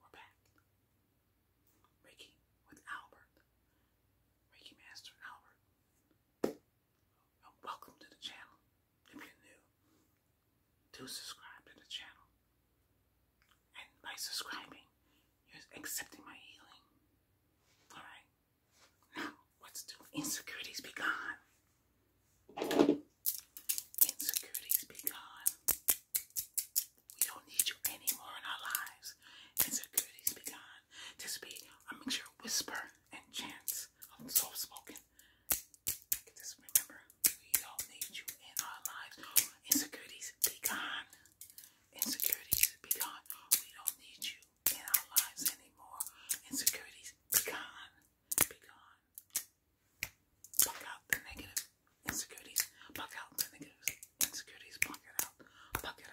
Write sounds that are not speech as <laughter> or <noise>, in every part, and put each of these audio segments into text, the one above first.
We're back. Reiki with Albert. Reiki Master Albert. welcome to the channel. If you're new, do subscribe to the channel. And by subscribing, you're accepting my healing. Alright? Now, let's do insecurities be gone. Insecurities be gone. We don't need you anymore in our lives. Insecurities be gone. Just be a mixture of whisper and chants of soft spoken. just remember we don't need you in our lives. Insecurities be gone. Insecurities be gone. We don't need you in our lives anymore. Insecurities be gone. Be gone. Block out the negative insecurities. Block out the negative insecurities. Block it out. Block it out.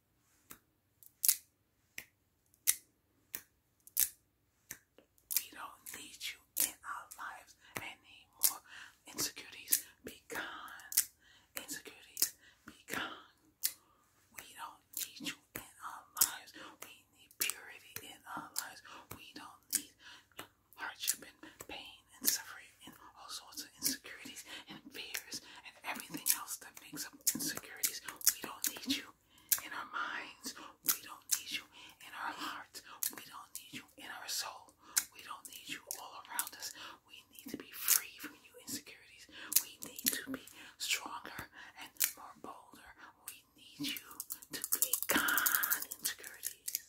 We don't need you in our lives anymore. Insecurities be gone. Insecurities be gone. We don't need you in our lives. We need purity in our lives. We don't need hardship and pain and suffering and all sorts of insecurities and fears everything else that makes up insecurities. We don't need you in our minds. We don't need you in our hearts. We don't need you in our soul. We don't need you all around us. We need to be free from you insecurities. We need to be stronger and more bolder. We need you to be gone insecurities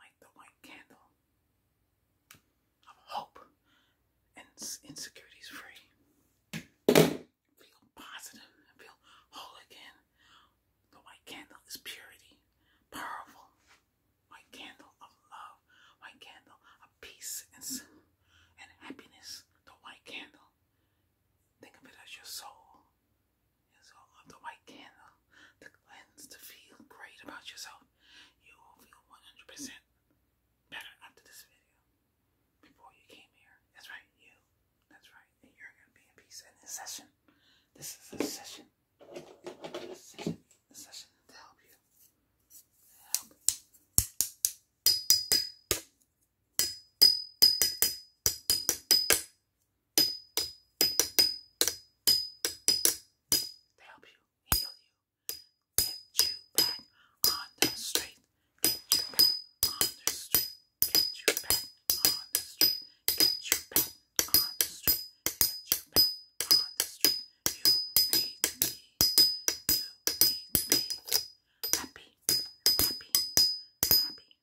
like the white candle of hope and insecurity is free. Feel positive and feel whole again. The white candle is purity, powerful. White candle of love, white candle of peace and and happiness. The white candle. Think of it as your soul, is of the white candle to cleanse, to feel great about yourself. You will feel 100% better after this video. Before you came here. That's right, you. That's right. And you're going to be in peace in this session. This is a session. session, session To help you to help you heal you. Get you back on the street. Get you back on the street. Get you back on the street. Get you back on the street. you need to You need to happy, happy, happy.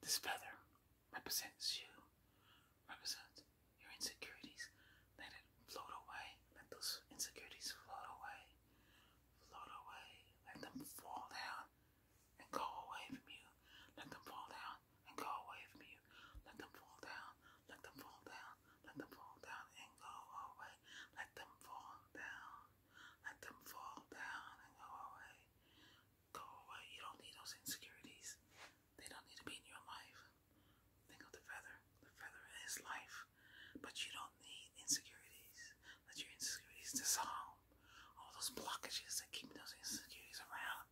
This feather represents you, represents your insecurities. Let it float away. Let those insecurities float away. Float away. Let them fall down and go away from you. Let them fall down and go away from you. Let them fall down. Let them fall down. Let them fall down and go away. Let them fall down. Let them fall down and go away. Go away. You don't need those insecurities. They don't need to be in your life. Think of the feather. The feather is life. But you don't need insecurities. Let your insecurities dissolve. All those blockages that keep those insecurities around,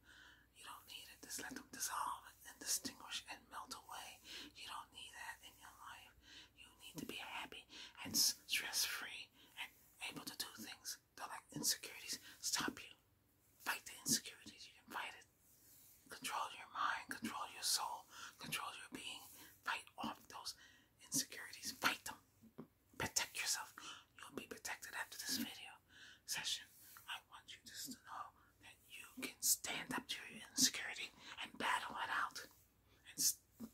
you don't need it. Just let them dissolve and distinguish and melt away. You don't need that in your life. You need to be happy and stress free and able to do things. Don't let insecurities stop you. Fight the insecurities. You can fight it. Control your mind, control your soul, control your being. Fight off those insecurities. Fight them. Protect yourself. You'll be protected after this video session. I want you just to know that you can stand up to your insecurity and battle it out and,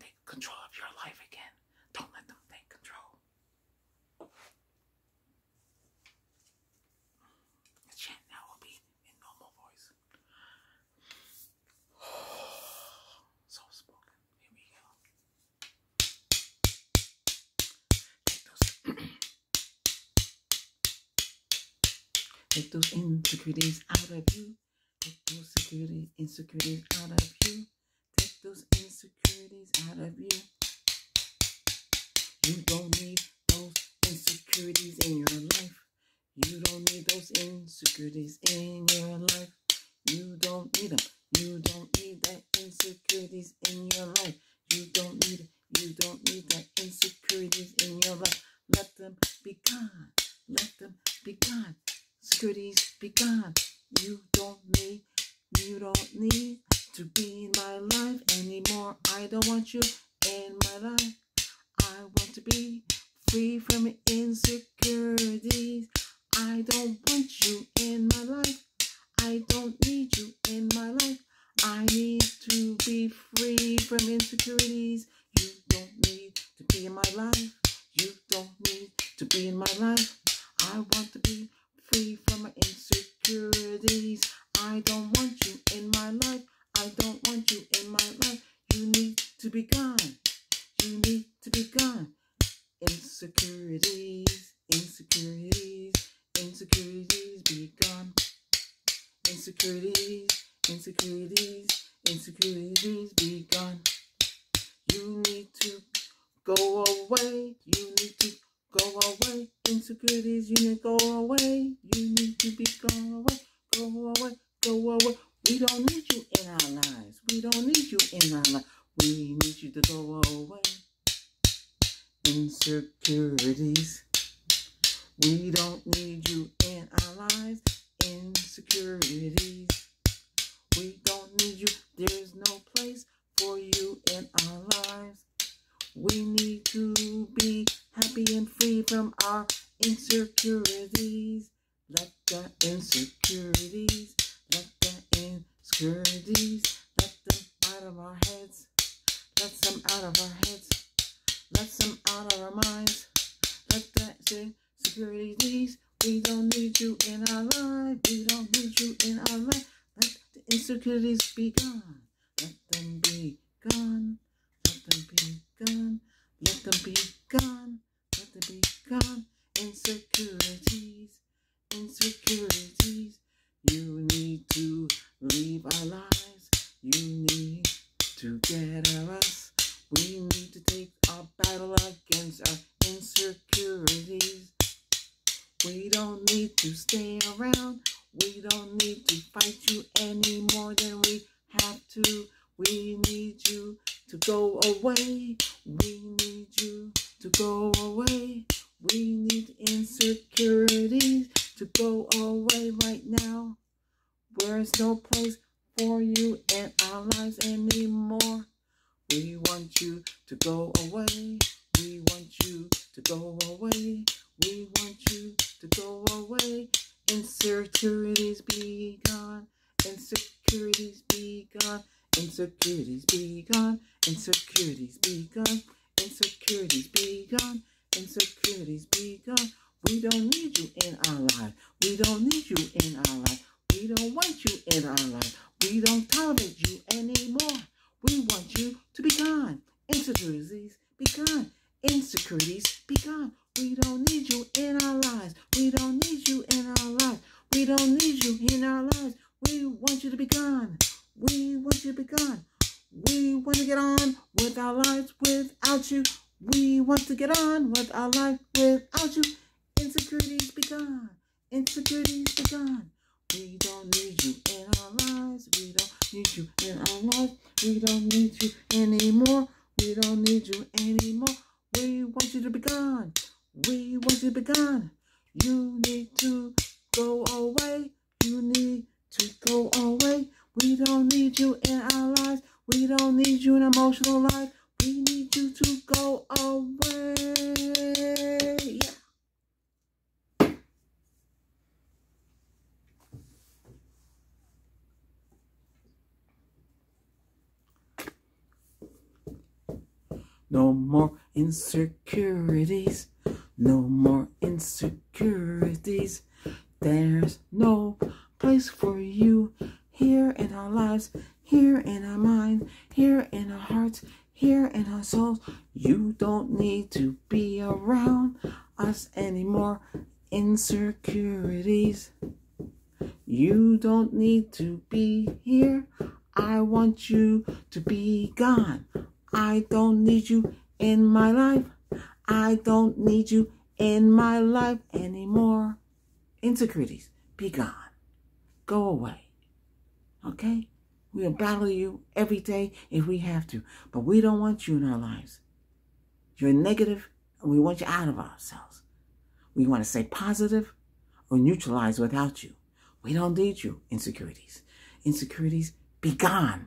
take control of your life again. Don't let them take control. The chant now will be in normal voice. <sighs> so spoken. Here we go. Take those <clears throat> insecurities out of you. Take those insecurities out of you. Take those insecurities out of you. You don't need those insecurities in your life. You don't need those insecurities in your life. You don't need them. You don't need that insecurities in your life. You don't need it. You don't need that insecurities in your life. Let them be gone. Let them be gone. Securities be gone. You don't need, you don't need to be in my life anymore. I don't want you in my life. I want to be free from insecurities. I don't want you in my life. I don't need you in my life. I need to be free from insecurities. You don't need to be in my life. You don't need to be in my life. I want to be free from my insecurities. I don't want you in my life. I don't want you in my life. You need to be gone. You need to be gone. Insecurities, insecurities, insecurities be gone. Insecurities, insecurities, insecurities be gone. You need to go away. You need to go away. Insecurities, you need to go away. You need to be gone away. Go away, go away. We don't need you in our lives. We don't need you in our lives. We need you to go away. Insecurities. We don't need you in our lives, insecurities. We don't need you, there's no place for you in our lives. We need to be happy and free from our insecurities. Let the insecurities, let the insecurities, let them out of our heads. Let them out of our heads. Let them out of our minds. Let that say security please. We don't need you in our life. We don't need you in our life. Let the insecurities be gone. Let them be gone. Let them be gone. Let them be gone. Let them be gone. Insecurities. Insecurities. You need to leave our lives. You need to get us, we need to take our battle against our insecurities. We don't need to stay around. We don't need to fight you any more than we have to. We need you to go away. We need you to go away. We need insecurities to go away right now. Where is no place for you and our lives anymore. We want you to go away. We want you to go away. We want you to go away. Insecurities be gone. Insecurities be gone. Insecurities be gone. Insecurities be gone. Insecurities be gone. Insecurities be gone. We don't need you in our life. We don't need you in our life. We don't want you in our life. We don't tolerate you anymore. We want you to be gone. Insecurities, be gone. Insecurities, be gone. We don't need you in our lives. We don't need you in our lives. We don't need you in our lives. We want you to be gone. We want you to be gone. We want to get on with our lives without you. We want to get on with our life without you. Insecurities be gone. Insecurities be gone. We don't need you in our lives. We don't need you in our lives. We don't need you anymore. We don't need you anymore. We want you to be gone. We want you to be gone. You need to go away. You need to go away. We don't need you in our lives. We don't need you in emotional life. We need you to go away. Yeah. No more insecurities. No more insecurities. There's no place for you here in our lives, here in our minds, here in our hearts, here in our souls. You don't need to be around us anymore. Insecurities. You don't need to be here. I want you to be gone. I don't need you in my life. I don't need you in my life anymore. Insecurities, be gone. Go away. Okay? We'll battle you every day if we have to, but we don't want you in our lives. You're negative, and we want you out of ourselves. We want to stay positive or neutralize without you. We don't need you, insecurities. Insecurities, be gone.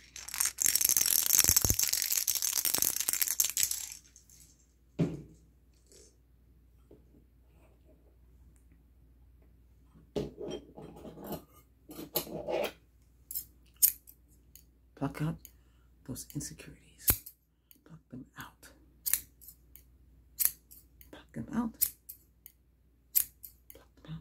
Pluck out those insecurities. Pluck them out. Pluck them out. Pluck them out.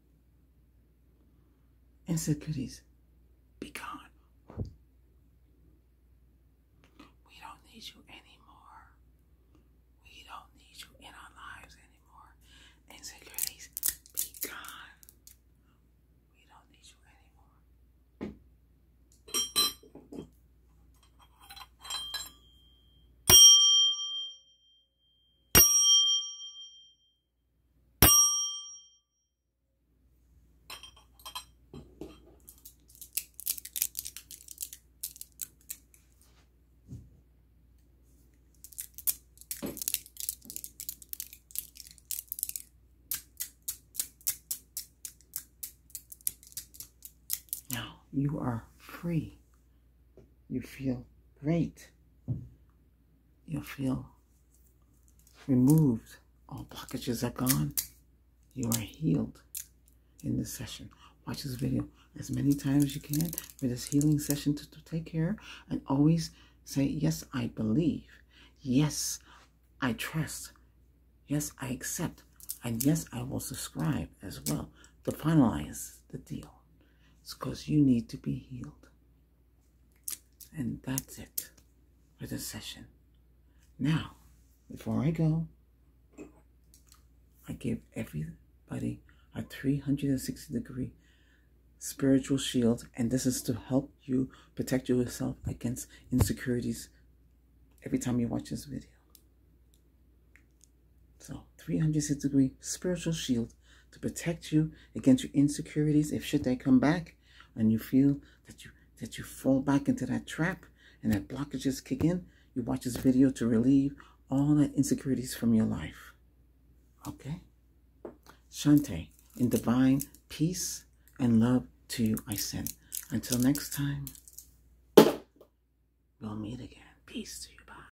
Insecurities, be gone. We don't need you anymore. We don't need you in our lives anymore. Insecurities, be gone. We don't need you anymore. Now you are free. You feel great you feel removed. All blockages are gone. You are healed in this session. Watch this video as many times as you can for this healing session to take care and always say, yes, I believe. Yes, I trust. Yes, I accept. And yes, I will subscribe as well to finalize the deal. It's because you need to be healed. And that's it for this session. Now, before I go, I give everybody a 360 degree spiritual shield, and this is to help you protect yourself against insecurities every time you watch this video. So 360 degree spiritual shield to protect you against your insecurities if should they come back and you feel that you that you fall back into that trap and that blockages kick in, you watch this video to relieve all that insecurities from your life. Okay? Shante, in divine peace and love to you I send. Until next time, we'll meet again. Peace to you. Bye.